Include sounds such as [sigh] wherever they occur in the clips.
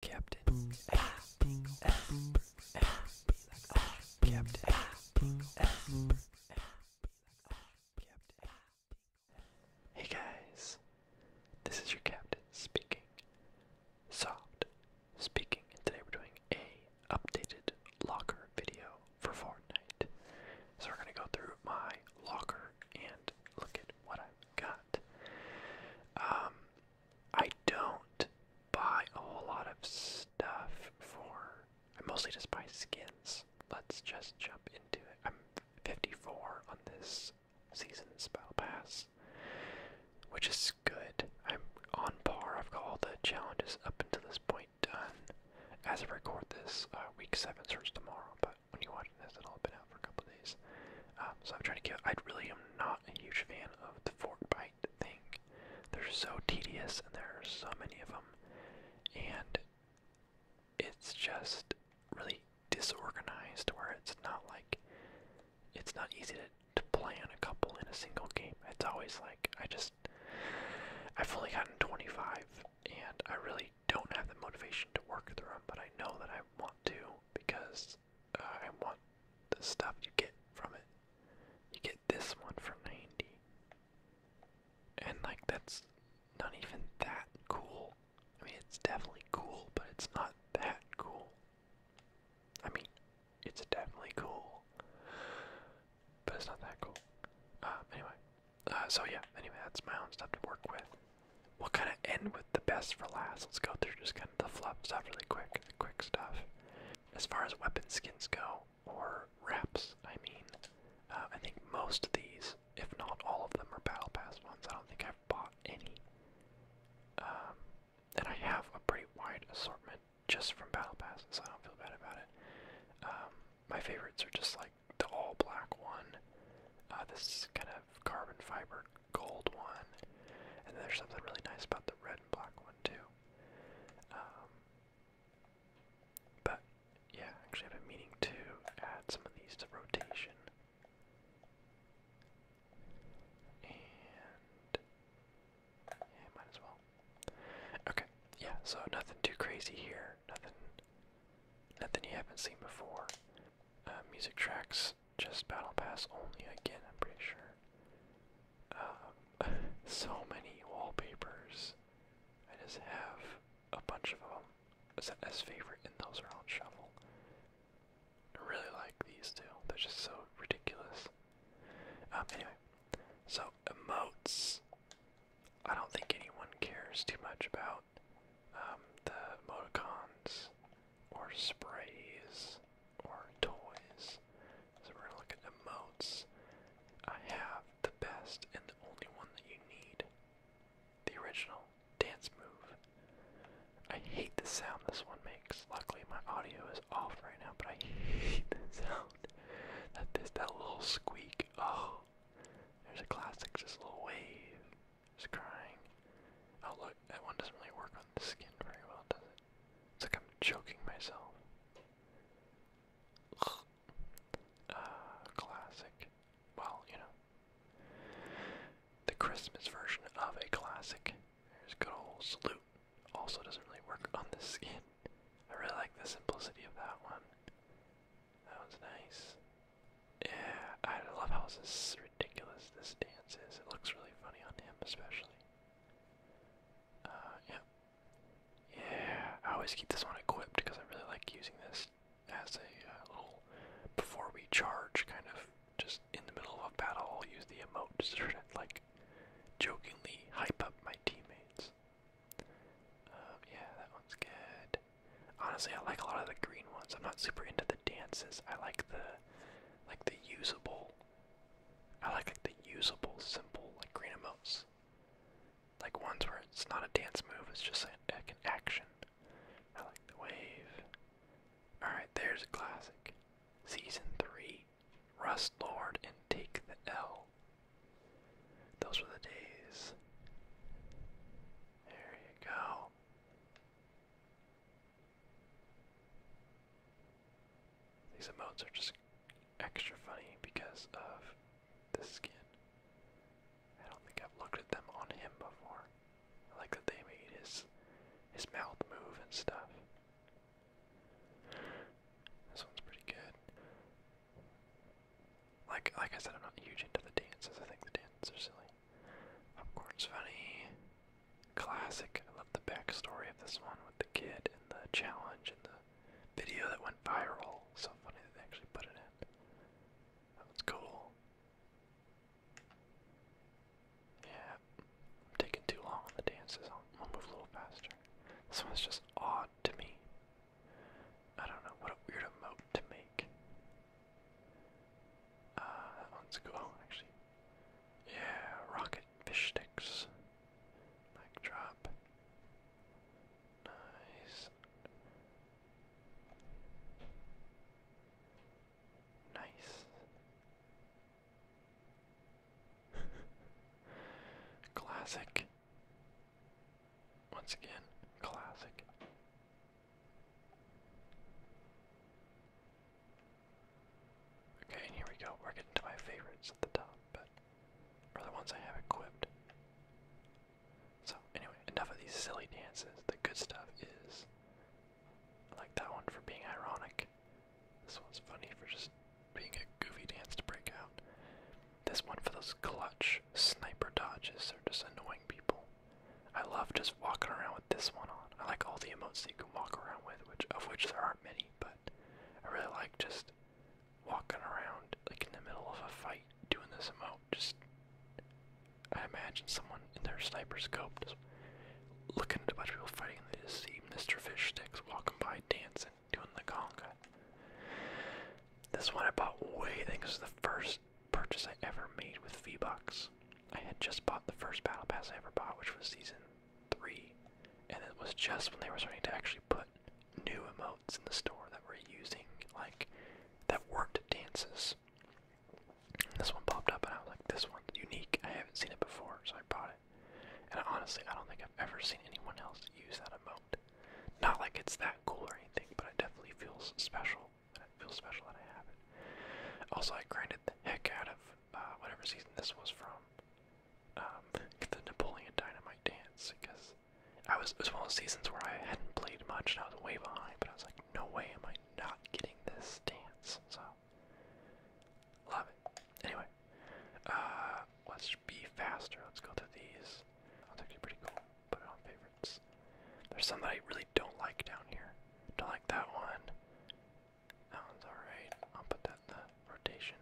Captain Hey guys, this is your captain speaking. Soft speaking, and today we're doing a updated locker video for Fortnite. So we're gonna go through my locker and look at what I've got. Um, I don't buy a whole lot of stuff for. I mostly just buy skins. Let's just jump into it. I'm 54 on this season's spell pass, which is good. I'm on par. I've got all the challenges up until this point done. As I record this, uh, week seven starts tomorrow, but when you watch this, it'll have been out for a couple days. Um, so I'm trying to get. I really am not not a huge fan of the fork bite thing. They're so tedious, and there are so many of them, and it's just really disorganized. Where it's not like it's not easy to, to plan a couple in a single game. It's always like I just I've only gotten 25, and I really don't have the motivation to work through them, but I know that I want to because I want the stuff you get from it. You get this one for 90. And like that's not even that cool. I mean, it's definitely cool, but it's not that cool. I mean, it's definitely cool, but it's not that cool. Uh, anyway, uh, so yeah, anyway, that's my own stuff to work with. We'll kind of end with the best for last. Let's go through just kind of the flaps off really quick, quick stuff. As far as weapon skins go, or wraps, I mean, uh, I think most of these, if not all of them, are Battle Pass ones. I don't think I've bought any. Um, and I have a pretty wide assortment just from Battle Passes, so I don't feel bad about it. Um, my favorites are just like the all black one. Uh, this kind of carbon fiber gold one, and there's something really nice about the red and black one too. Um, but yeah, actually, I've been meaning to add some of these to rotation. And might as well. Okay, yeah. So nothing too crazy here. Nothing, nothing you haven't seen before. Uh, music tracks just Battle Pass only again, I'm pretty sure. Um, [laughs] so many wallpapers. I just have a bunch of them as, as favorite, and those are on shuffle. really like these two. They're just so ridiculous. Um, anyway, so emotes. I don't think anyone cares too much about um, the emoticons or sprays or toys. So we're gonna look at emotes. I have the best and the only one that you need. The original dance move. I hate the sound this one makes. Luckily my audio is off right now, but I hate the sound. That this that little squeak. Oh. There's a classic, just a little wave. Just crying. Oh look, that one doesn't really work on the skin very well, does it? It's like I'm choking myself. Uh, classic. Well, you know. The Christmas version of a classic. There's good old salute. Also doesn't really work on the skin. I really like the simplicity of that one. That one's nice. Yeah, I love how this is ridiculous this dance is. It looks really funny on him, especially. Uh, yeah. Yeah, I always keep this one equipped because I really like using this as a uh, little, before we charge, kind of just in the middle of a battle, I'll use the emote to sort of like jokingly hype up my teammates. Uh, yeah, that one's good. Honestly, I like a lot of the green ones. I'm not super into the dances. I like the like the usable. I like like the usable, simple like green emotes, like ones where it's not a dance move; it's just like, an action. I like the wave. All right, there's a classic. Season three, rest, Lord and Take the L. Those were the days. There you go. These emotes are just extra funny because of the skin. I don't think I've looked at them on him before. I like that they made his his mouth move and stuff. This one's pretty good. Like like I said, I'm not huge into the dances. I think the dances are silly. Popcorn's funny. Classic. I love the backstory of this one with the kid and the challenge and the video that went viral. So funny that they actually put it in. That was cool. Yeah, I'm taking too long on the dances. I'll, move a little faster. This one's just odd to me. I don't know what a weird emote to make. Uh, that one's cool. actually, yeah, rocket fish sticks. Mic drop. Nice. Nice. [laughs] classic. Once again, classic. Okay, and here we go. We're getting to my favorites at the top, but are the ones I have equipped. So anyway, enough of these silly dances. The good stuff is like that one for being ironic. This one's funny for just being a goofy dance to break out. This one for those clutch sniper dodges. They're just annoying people. I love just walking around with this one on. I like all the emotes you can walk around with, which of which there aren't many, but I really like just walking around like in the middle of a fight doing this emote. Just I imagine someone in their sniper scope just looking at a bunch of people fighting and they just see Mr. Fish Sticks walking by dancing, doing the conga. This one I bought way I think this is the first purchase I ever made with V-Bucks. I had just bought the first battle pass I ever bought, which was season three, and it was just when they were starting to actually put new emotes in the store that were using like that weren't dances. this one popped up, and I was like, "This one's unique. I haven't seen it before," so I bought it. And honestly, I don't think I've ever seen anyone else use that emote. Not like it's that cool or anything, but it definitely feels special. And it feels special that I have it. Also, I grinded the heck out of uh, whatever season this was from, um, the Napoleon Dynamite dance because I was it was one of those seasons where I hadn't played much and I was way behind, but I was like, no way am I not getting this dance. So love it. Anyway, uh, let's be faster. Let's go to these. That's actually pretty cool. Put it on favorites. There's some that I really don't like down here. Don't like that one. That one's alright. I'll put that in the rotation.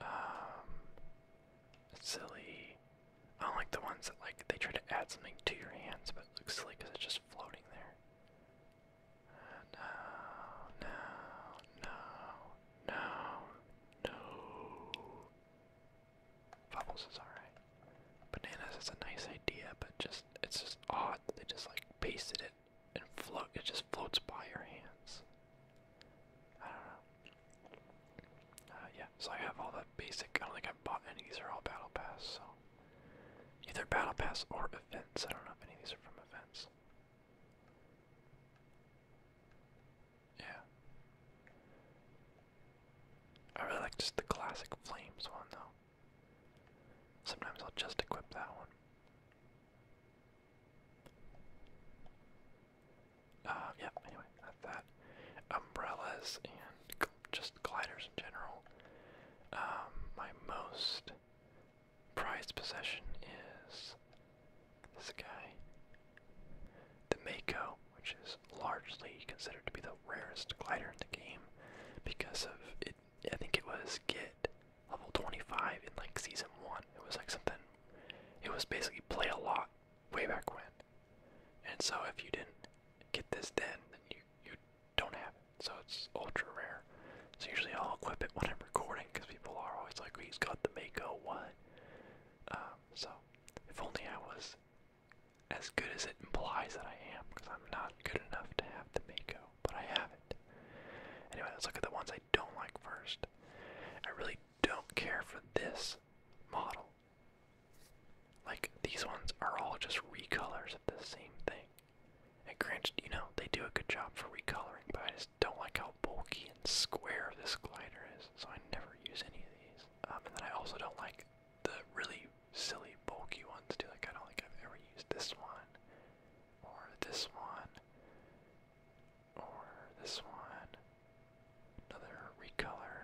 Um, it's silly. I don't like the ones that like they try to add something to your hands, but it looks silly because it's just floating there. no, uh, no, no, no, no. Bubbles is alright. Bananas is a nice idea, but just it's just odd. They just like pasted it and float. It just floats by your hands. I don't know. Uh, yeah, so I have all the basic. I do i bought any. These are all battle pass. So either battle pass or events. I don't know if any of these are from events. Yeah. I really like just the classic flames one though. Sometimes I'll just equip that one. Uh, yeah, anyway, that. Umbrellas and just gliders in general. Um, my most prized possession is this guy. The Mako, which is largely considered to be the rarest glider in the game because of it. I think it was Git level 25 in like season one. It was like something. It was basically play a lot way back when. And so if you didn't get this then, then you you don't have it. So it's ultra rare. So usually I'll equip it when I'm recording because people are always like, "He's got the Mako what?" Um, so if only I was as good as it implies that I am, because I'm not good enough to have the Mako but I haven't. Anyway, let's look at the ones I don't like first. I really don't care for this model. Like, these ones are all just recolors of the same thing. And granted, you know, they do a good job for recoloring, but I just don't like how bulky and square this glider is, so I never use any of these. Um, and then I also don't like the really silly bulky ones too. Like I don't think I've ever used this one or this one, or this one. Another recolor.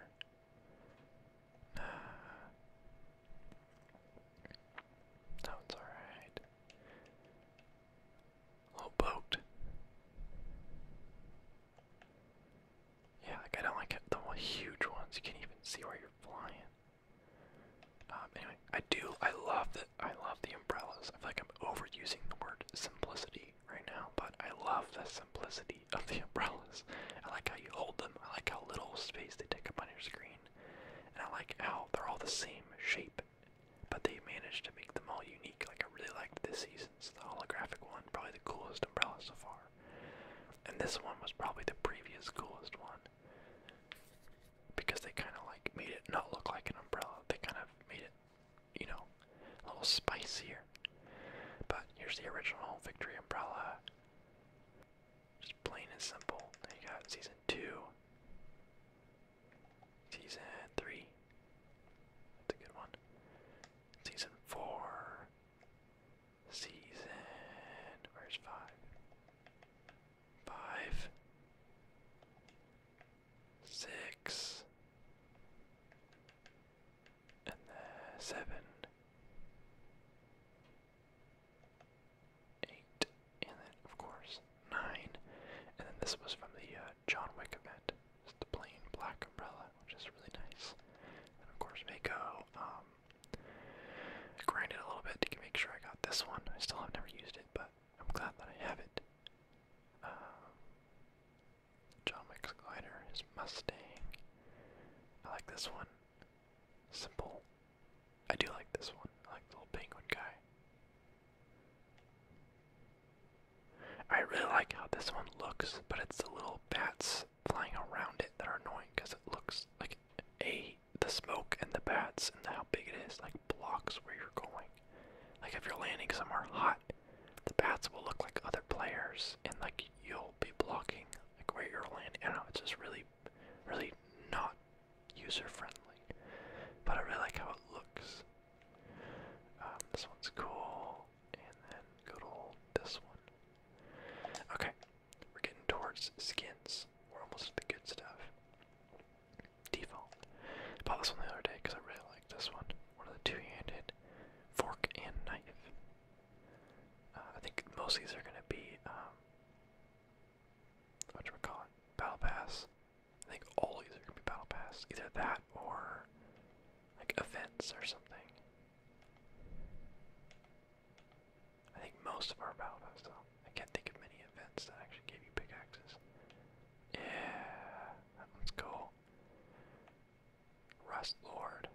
No, it's alright. Little boat. Yeah, I don't like the huge ones. You can't even see where you're flying. Um, anyway, I do. I love the. I love the umbrellas. I feel like I'm overusing the word simplicity right now, but I love the simplicity of the [laughs] umbrellas. I like how you hold them. I like how little space they take up on your screen, and I like how they're all the same shape, but they managed to make them all unique. Like I really liked this season's the holographic one, probably the coolest umbrella so far, and this one was probably the previous coolest one because they kind of like made it not look like an umbrella. They kind of made it, you know, a little spicier. But here's the original Victory umbrella. Just plain and simple. Then you got season two, season three. That's a good one. Season four. Season. Where's five? five, six, and then seven, eight, and then of course nine. And then this was from the uh, John Wick event. It's the plain black umbrella, which is really nice. And of course, Mako. Um, grinded a little bit to make sure I got this one. I still have never used but I'm glad that I have it. Um, John Wick's glider, Mustang. I like this one. Simple. I do like this one. like the little penguin guy. I really like how this one looks, but it's the little bats flying around it that are annoying because it looks like a the smoke and the bats and how big it is, like blocks where you're going. Like if you're landing somewhere hot, the bats will look like other players and like you'll be blocking like where you're landing. I do know, it's just really really not user friendly. But I really like how it looks. Um, this one's cool. And then good old this one. Okay. We're getting towards skins. We're almost to the good stuff default. I bought this one the other day because I really like this one. One of the two-handed fork and knife. Uh, I think most of these are going to be, um, what do we call Battle Pass. I think all these are going to be Battle Pass. Either that or, like, events or something. I think most of our Balbas though. I can't think of many events that actually gave you pickaxes. Yeah, that one's cool. Rust Lord.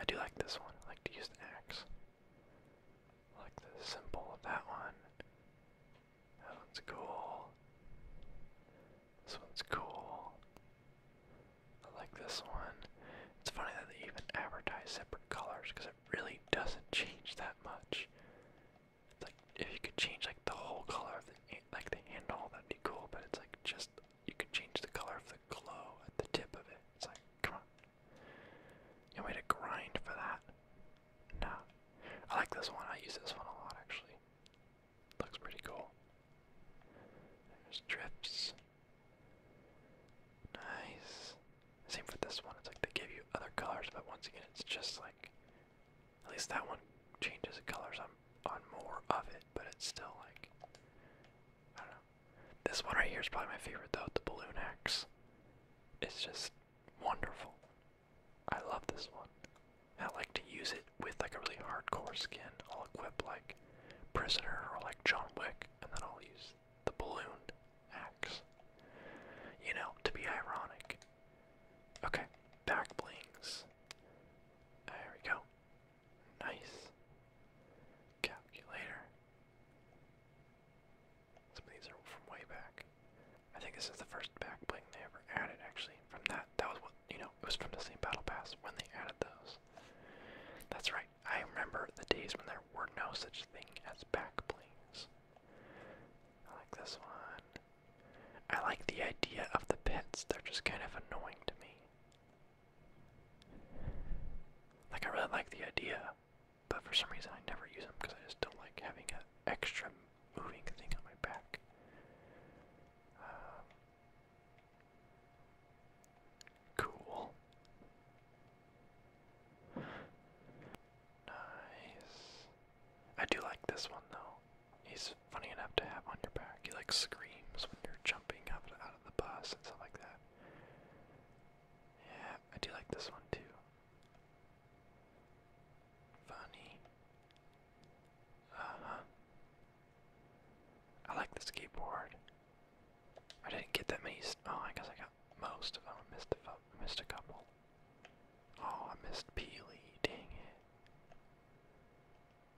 I do like this one. I like to use the axe. like the symbol of that one. That one's cool. This one's cool. I like this one. It's funny that they even advertise separate colors because it really doesn't change that much. It's like if you could change like the whole color of the like the handle, that'd be cool. But it's like just you could change the color of the glow at the tip of it. It's like come on, you want me to grind for that? No. I like this one. I use this one a lot actually. Looks pretty cool. There's drips. Nice. Same for this one. It's like they give you other colors, but once again, it's just like at least that one changes the colors on on more of it, but it's still like I don't know. This one right here is probably my favorite though. The balloon axe. It's just wonderful. I love this one. I like to use it with like a really hardcore skin. I'll equip like prisoner or like John Wick, and then I'll use the balloon axe. You know, to be ironic. Okay, back blings. There we go. Nice. Calculator. Some of these are from way back. I think this is the first back bling they ever added, actually. From that, that was what, you know, it was from the same Battle Pass when they added those. That's right, I remember the days when there were no such thing as back blings. I like this one. I like the idea of the pets. They're just kind of annoying to me. Like I really like the idea, but for some reason I never use them because I just don't like having an extra moving thing on my back. Um, Cool. Nice. I do like this one though. He's funny enough to have on your back. He like screams when you're jumping up out of the bus and stuff like that. Yeah, I do like this one too. Funny. Uh huh. I like the skateboard. I didn't get that many. Oh, I guess I got most of them. I missed a, I missed a couple. Oh, I missed Peely. Dang it.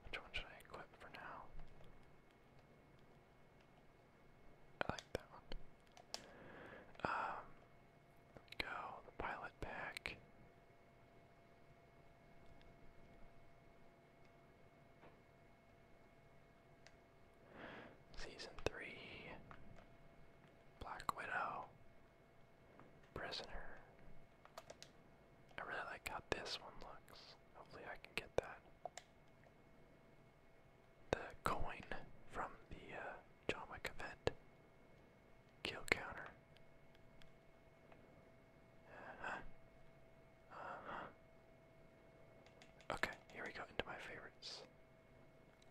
Which one should I equip for now? I like that one. Um, go. The pilot pack. Season 3 Black Widow Prisoner. I really like how this one looks. Hopefully, I can get that. The coin from the uh, event. Kill counter. Uh-huh. Uh-huh. Okay, here we go into my favorites.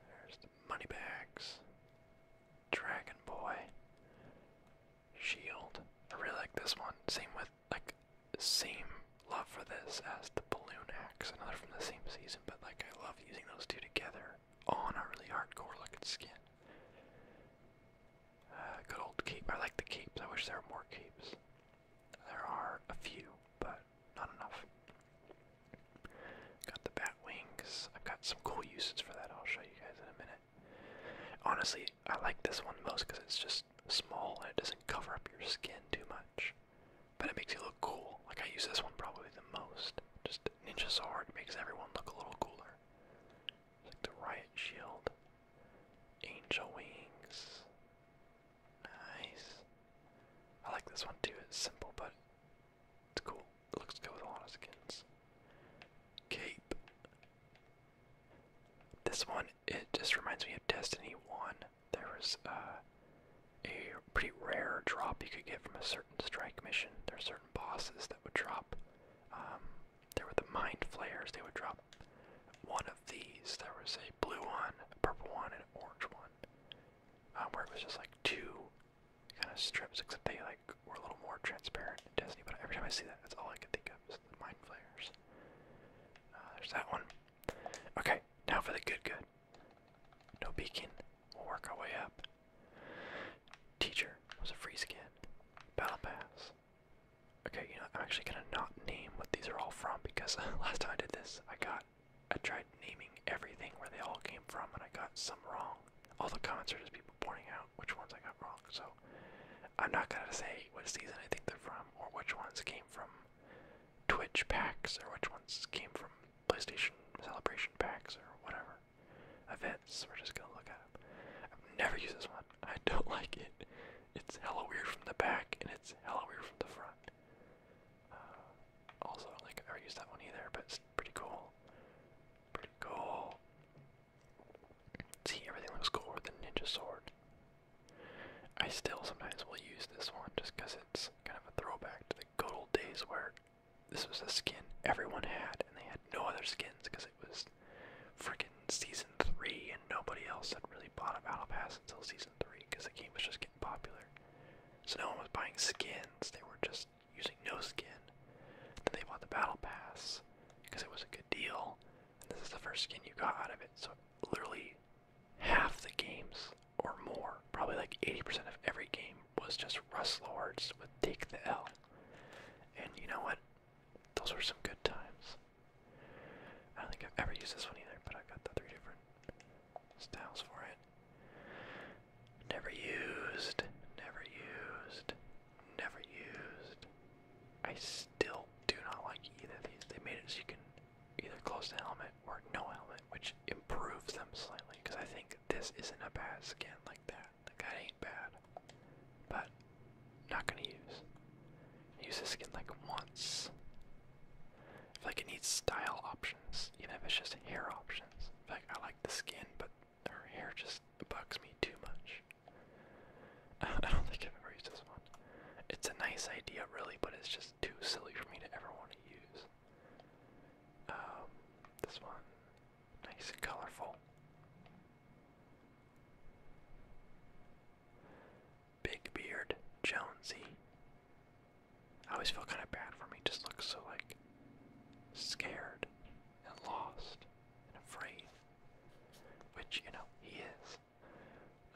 There's the bags, Dragon Boy, Shield. I really like this one. Same with like same love for this as the balloon axe, another from the same season, but like I love using those two together on a really hardcore looking skin. Uh, good old cape. I like the capes. I wish there were more capes. There are a few, but not enough. Got the bat wings. I've got some cool uses for that. I'll show you guys in a minute. Honestly, I like this one the most because it's just small and it doesn't cover up your skin too much. But it makes you look cool. Like I use this one probably the most. Just ninja sword makes everyone look a little cooler. like the riot shield, angel wings. Nice. I like this one too. It's simple, but it's cool. It looks good with a lot of skins. Cape. This one, it just reminds me of Destiny 1. There was uh, a pretty rare drop you could get from a certain strike mission. There are certain bosses that would drop. Um, there were the mind Flares. They would drop one of these. There was a blue one, a purple one, and an orange one. Uh, where it was just like two kind of strips, except they like were a little more transparent in Disney. But every time I see that, that's all I can think of is mind flares. Uh, there's that one. Okay, now for the good, good. No beacon. We'll work our way up. Teacher was a free skin. Battle pass. Okay, you know, I'm actually gonna not name what these are all from because [laughs] last time I did this, I got I tried naming everything where they all came from, and I got some wrong. All the comments are just people pointing out which ones I got wrong. So I'm not gonna say which season I think they're from, or which ones came from Twitch packs, or which ones came from PlayStation Celebration packs, or whatever events. We're just gonna look at them. I've never used this one. I don't [laughs] like it. It's hella weird from the back, and it's hella weird from the front. Uh, also, I don't think that one either, but it's pretty cool. Pretty cool. See, everything looks cool with the ninja sword. I still sometimes will use this one just because it's kind of a throwback to the good old days where this was a skin everyone had and they had no other skins because it was freaking season 3 and nobody else had really bought a battle pass until season 3 because the game was just getting popular. So no one was buying skins, they were just using no skin. Then they bought the battle pass because it was a good deal. this is the first skin you got out of it. So literally half the games or more, probably like 80% of every game was just Rust Lords with Take the L. And you know what? Those were some good times. I don't think I've ever used this one either, but I've got the three different Styles for it. Never used. Never used. Never used. I still do not like either of these. They made it so you can either close the helmet or no helmet, which improves them slightly. Because I think this isn't a bad skin like that. Like that ain't bad. But not gonna use. Use this skin like once. I feel like it needs style options, even if it's just hair options. I like I like the skin, but her hair just bugs me too much. [laughs] I don't think I've ever used this one. It's a nice idea, really, but it's just too silly for me to ever want to use. Um, this one, nice and colorful. Big Beard Jonesy. I always feel kind of bad for him. just looks so like scared and lost and afraid, which you know he is.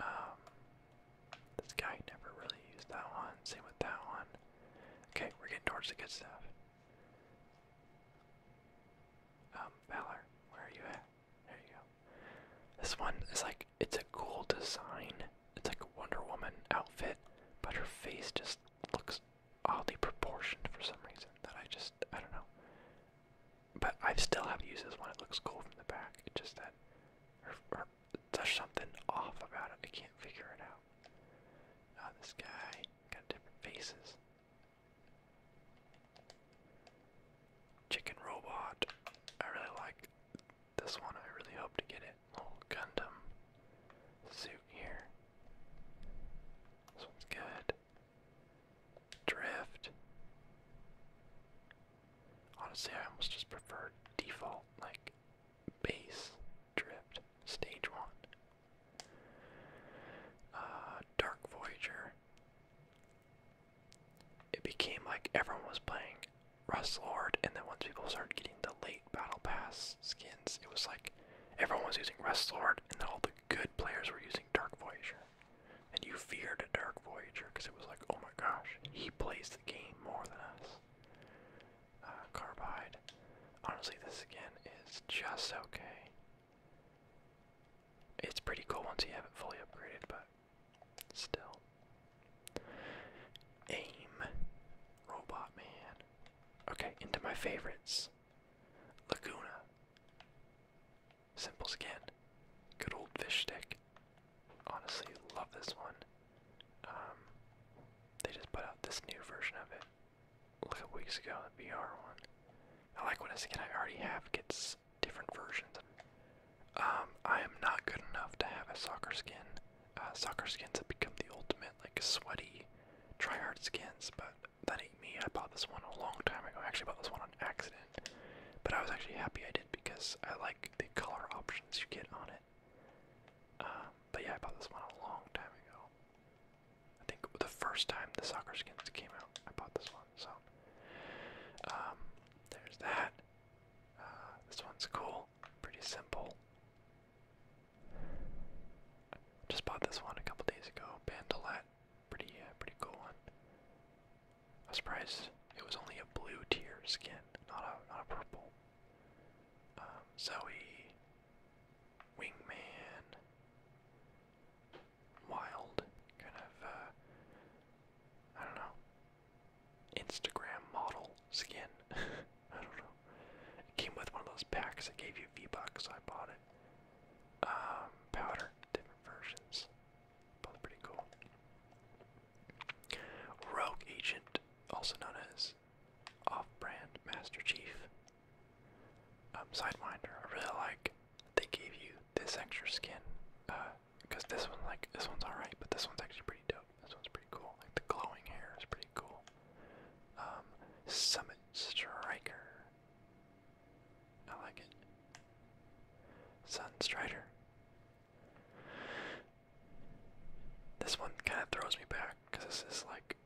Um, this guy never really used that one. Same with that one. Okay, we're getting towards the good stuff. Um, Valor, where are you at? There you go. This one is like it's a cool design. It's like a Wonder Woman outfit, but her face just looks oddly proportioned for some reason that I just I don't know. But I still have to use this one. It looks cool from the back. It's just that her, something off about it. I can't figure it out. Ah, this guy got different faces. Chicken robot. I really like this one I really hope to get it. Little Gundam suit here. This one's good. Drift. Honestly, I almost just prefer default, like base drift, stage one. Uh, Dark Voyager. It became like everyone was playing like Rust and then once people started getting the late Battle Pass skins, it was like everyone was using Rust Lord, and all the good players were using Dark Voyager. And you feared Dark Voyager because it was like, oh my gosh, he plays the game more than us. Uh, Carbide. Honestly, this again is just okay. It's pretty cool once you have it fully upgraded, but Still. Aim. Robot Man. Okay, into my favorites. Laguna. Simple skin. Good old fish stick. Honestly, love this one. Um, they just put out this new version of it a couple weeks ago, the VR one. I like when a skin I already have gets different versions. Um, I am not good enough to have a soccer skin. Uh, soccer skins have become the ultimate, like, sweaty, tryhard skins, but that ain't me. I bought this one a long time ago. I actually bought this one on accident, but I was actually happy I did because I like the color options you get on it. Um, but yeah, I bought this one a long time ago. I think the first time the soccer skins came out, I bought this one. So um, there's that. Uh, this one's cool pretty simple. Just bought this one a couple days ago, Bandolette, pretty uh, pretty cool one. I was it was only a blue tier skin, not a not a purple. Um, Zoe, Wingman, Wild, kind of. Uh, I don't know. Instagram model skin. [laughs] I don't know. It came with one of those packs that gave you V-Bucks, I bought it. Um, powder, different versions. Both pretty cool. Rogue Agent, also known as off-brand Master Chief. Um, Sidewinder, I really like. They gave you this extra skin, uh, because this one, like, this one's alright, but this one's actually pretty dope. This one's pretty cool. Like, the glowing hair is pretty cool. Um, Summit Striker. I like it. Sunstrider. This one kind of throws me back, because this is like,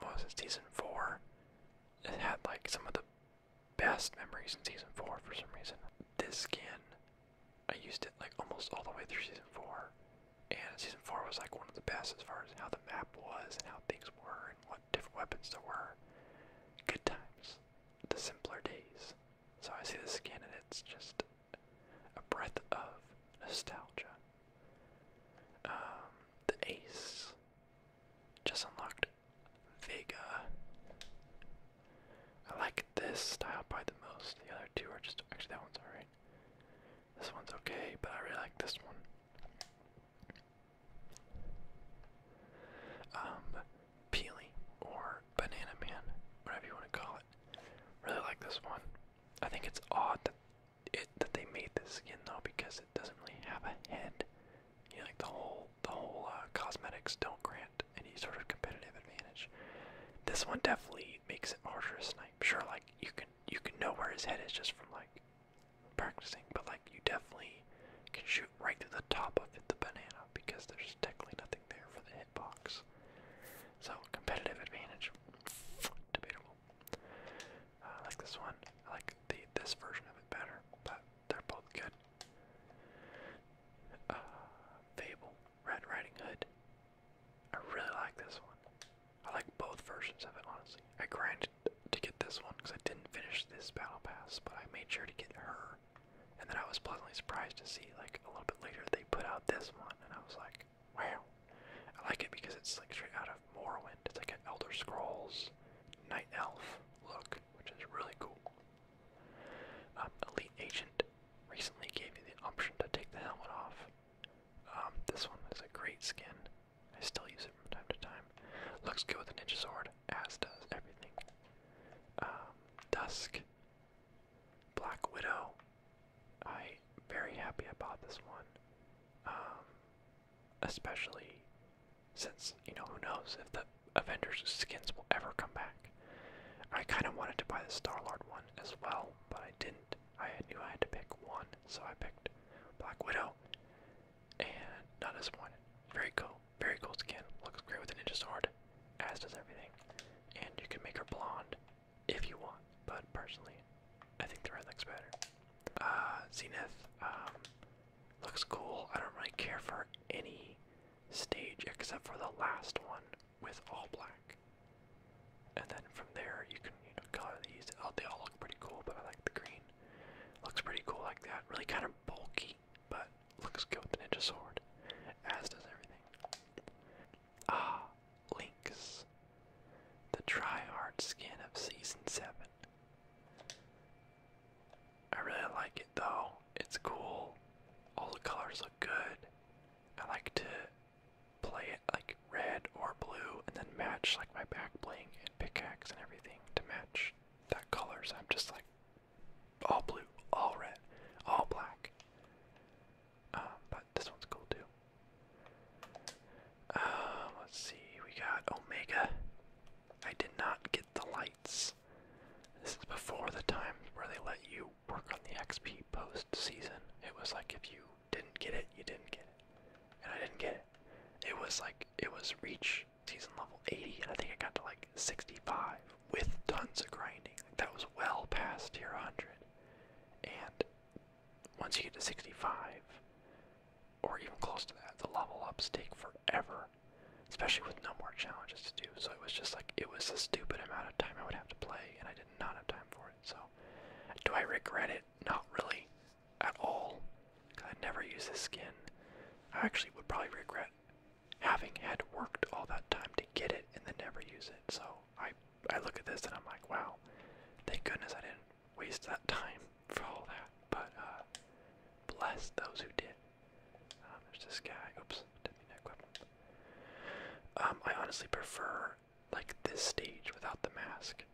what was season 4? It had like some of the best memories in season 4 for some reason. This skin I used it like almost all the way through season four, and season four was like one of the best as far as how the map was and how things were and what different weapons there were. Good times, the simpler days. So I see this again, and it's just a breath of nostalgia. Um, the Ace just unlocked Vega. I like this style by the most. The other two are just actually that one's alright. This one's okay, but I really like this one. Um, Peely or Banana Man, whatever you want to call it. Really like this one. I think it's odd that it that they made this skin though because it doesn't really have a head. You know, like the whole the whole uh, cosmetics don't grant any sort of competitive advantage. This one definitely makes it harder to snipe. Sure, like you can you can know where his head is just from like practicing, but like you definitely can shoot right through the top of it, the banana because there's technically nothing there for the hitbox. So competitive advantage, debatable. Uh, I like this one. I like the this version of it better, but they're both good. Uh, Fable, Red Riding Hood, I really like this one. I like both versions of it, honestly. I grinded to get this one because I didn't finish this battle pass, but I made sure to get her. And then I was pleasantly surprised to see, like, a little bit later they put out this one, and I was like, wow. I like it because it's, like, straight out of Morrowind. It's like an Elder Scrolls Night Elf look, which is really cool. Um, Elite Agent recently gave you the option to take the helmet off. Um, this one is a great skin. I still use it from time to time. Looks good with a ninja sword, as does everything. Um, Dusk, Black Widow. I very happy about this one. Um, especially since you know who knows if the Avengers skins will ever come back. I kind of wanted to buy the Star Lord one as well, but I didn't. I knew I had to pick one, so I picked Black Widow, and not disappointed. Very cool, very cool skin. Looks great with the ninja sword, as does everything. And you can make her blonde if you want, but personally, I think the red looks better. Uh, Zenith um, looks cool. I don't really care for any stage except for the last one with all black. And then from there you can you know color these. Oh, they all look pretty cool, but I like the green. Looks pretty cool like that. Really kind of bulky, but looks good with the ninja sword. As does everything. Ah, Lynx. The try-hard skin of season seven. I really like it though. It's cool. All the colors look good. I like to play it like red or blue and then match like my back bling and pickaxe and everything to match that colors. I'm just like all blue, all red, all black. Um, but this one's cool too. Um, let's see, we got Omega. I did not get the lights. This is before the time where they let you work on the XP post-season. It was like if you didn't get it, you didn't get it. And I didn't get it. It was like it was reach season level 80, and I think I got to like 65 with tons of grinding. that was well past tier 100. And once you get to 65, or even close to that, the level ups take forever, especially with no more challenges to do. So it was just like it was a stupid amount of time I would have to play, and I did not not have time for it. So, do I regret it? Not really, at all. I never use this skin. I actually would probably regret having had worked all that time to get it and then never use it. So I I look at this and I'm like, wow, thank goodness I didn't waste that time [laughs] for all that. But uh, bless those who did. Uh, there's this guy. Oops, um, I honestly prefer like this stage without the mask.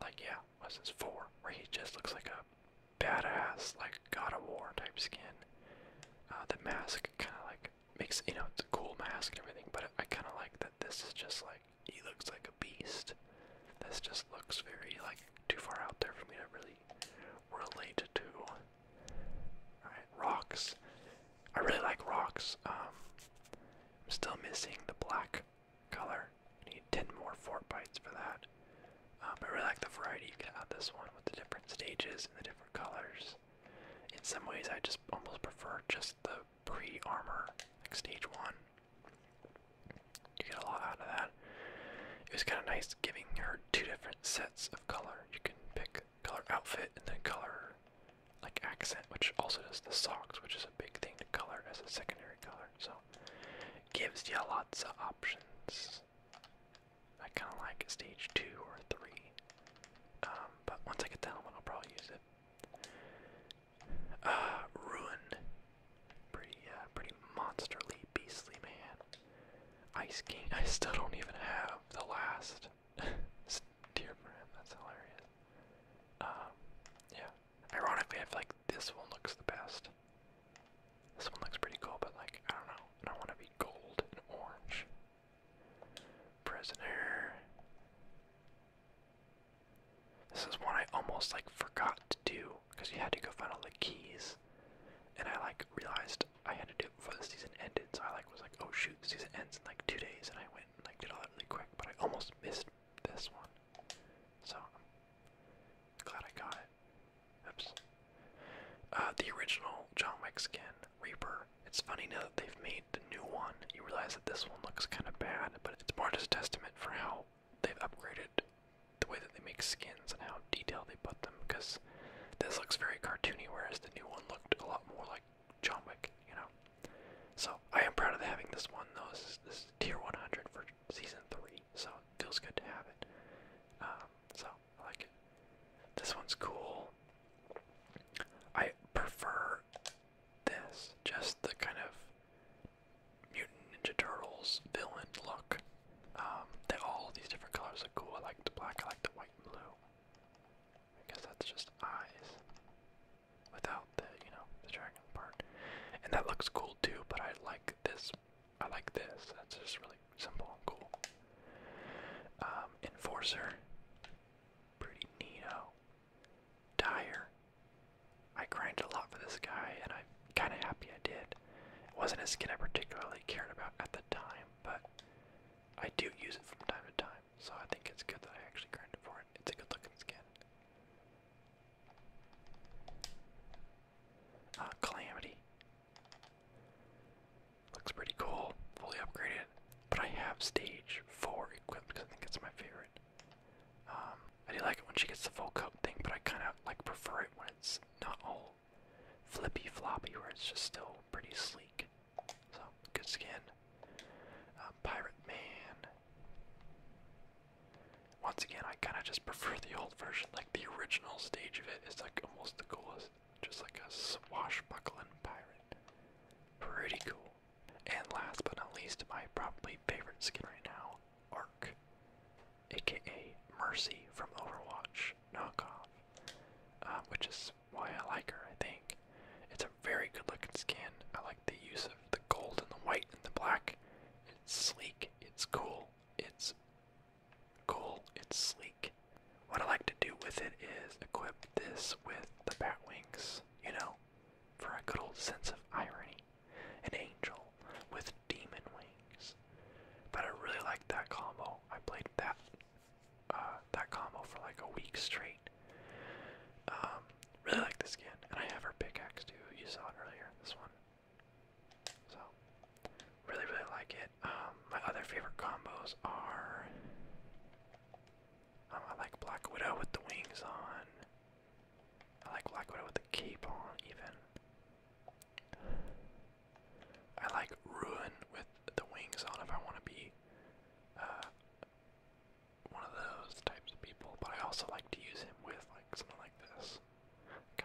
Like yeah, what's four? Where he just looks like a badass, like God of War type skin. Uh, the mask kind of like makes you know it's a cool mask and everything, but I kind of like that this is just like he looks like a beast. This just looks very like too far out there for me to really directly related to. rocks. I really like rocks. Um, I'm still missing the black color. I need 10 more fort bites for that. Um, I really like the variety you can have this one with the different stages and the different colors. In some ways, I just almost prefer just the pre armor, like stage one. You get a lot out of that. It was kind of nice giving her two different sets of color. You can pick color outfit, and then color like accent, which also does the socks, which is a big thing to color as a secondary color. So gives you lots of options. I kind of like stage two or three, um, but once I get that one, I'll probably use it. Uh, ruin, pretty, uh, pretty monsterly, beastly man. Ice King. I still don't even have the last [laughs] Dear Marin, that's hilarious. Um, yeah. Ironically, I feel like this one looks the best. This one looks pretty cool, but like, I don't know. I don't want to be gold and orange. Prisoner. This is one I almost like forgot to do because you had to go find all the keys and I like realized I had to do it before the season ended. So I like was like, oh shoot, the season ends in like two days, and I went and I did all that really quick. But I almost missed this one, so I'm glad I got it. Oops. Uh, the original John Wick skin, Reaper. It's funny now that they've made the new one. You realize that this one looks kind of bad, but it's more just a testament for how they've upgraded the way that they make skins and how detailed they put them. Because this. looks very cartoony, whereas the new one looked a lot more like John Wick, you know. So I am proud of having this one though. This tier 100 for season three, so it feels good to have it. Um, so I like it. This one's cool. I prefer this, just the kind of mutant Ninja Turtles villain look. Um, all these different colors are cool. I like the black. I like the white and blue. I guess that's just eyes without the, you know, the dragon part. And that looks cool too, but I like this. I like this. That's just really simple and cool. Um, Enforcer. Pretty neato. Dire. I grinded a lot for this guy, and I'm kind of happy I did. It wasn't a skin I particularly cared about at the time, but I do use it from time to time, so I think it's good that I actually grinded for it. It's a good looking skin. Ah, Calamity. Looks pretty cool, fully upgraded. But I have stage 4 equipped because I think it's my favorite. Um, I do like it when she gets the full coat thing, but I kind of like prefer it when it's not all flippy floppy where it's just still pretty sleek. So, good skin. Uh, pirate Man. Once again, I kind of just [laughs] prefer the old version. Like, the original stage of it is like almost the coolest. Just like a swashbuckling pirate. Pretty cool. And last but not least, my probably favorite skin right now, Ark, aka Mercy from Overwatch knockoff, uh, which is why I like her, I think. It's a very good looking skin. I like the use of the gold and the white and the black. It's sleek, it's cool, it's cool, it's sleek. What I like to do with it is equip this with the bat wings, you know, for a good old sense of irony. An angel with demon wings. But I really like that combo. I played that uh, that combo for like a week straight. Um, really like the skin, and I have her pickaxe too. You saw it earlier. This one. So, really, really like it. Um, my other favorite combos are. Um, I like Black Widow with the wings on. I like Black Widow with the cape on, even. I like ruin with the wings on if I want to be uh, one of those types of people, but I also like to use him with like something like this.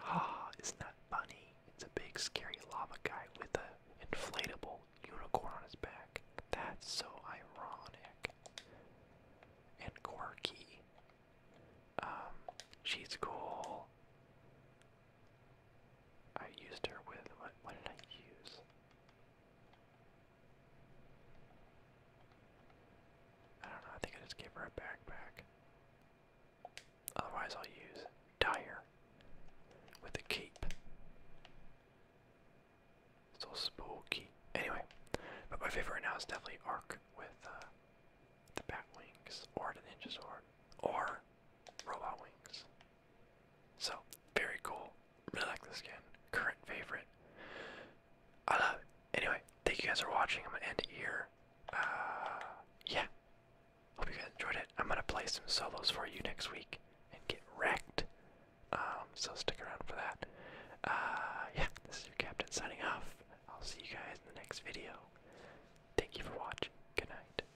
Ah, isn't that funny? It's a big scary lava guy with an inflatable unicorn on his back. That's so ironic and quirky. Um, she's cool. I used her with what? What did I use? I don't know. I think I just gave her a backpack. Otherwise, I'll use Dire with a cape. So spooky. Anyway, but my favorite now is definitely Arc with uh, the bat wings, or the ninja sword, or robot wings. So, very cool. Really like this game. Current favorite. I love it. Anyway, thank you guys for watching. I'm gonna end it here. Uh, yeah. Hope you guys enjoyed it. I'm gonna play some solos for you next week and get wrecked. Um, so stick around for that. Uh, yeah, this is your captain signing off. I'll see you guys in the next video. Thank you for watching. Good night.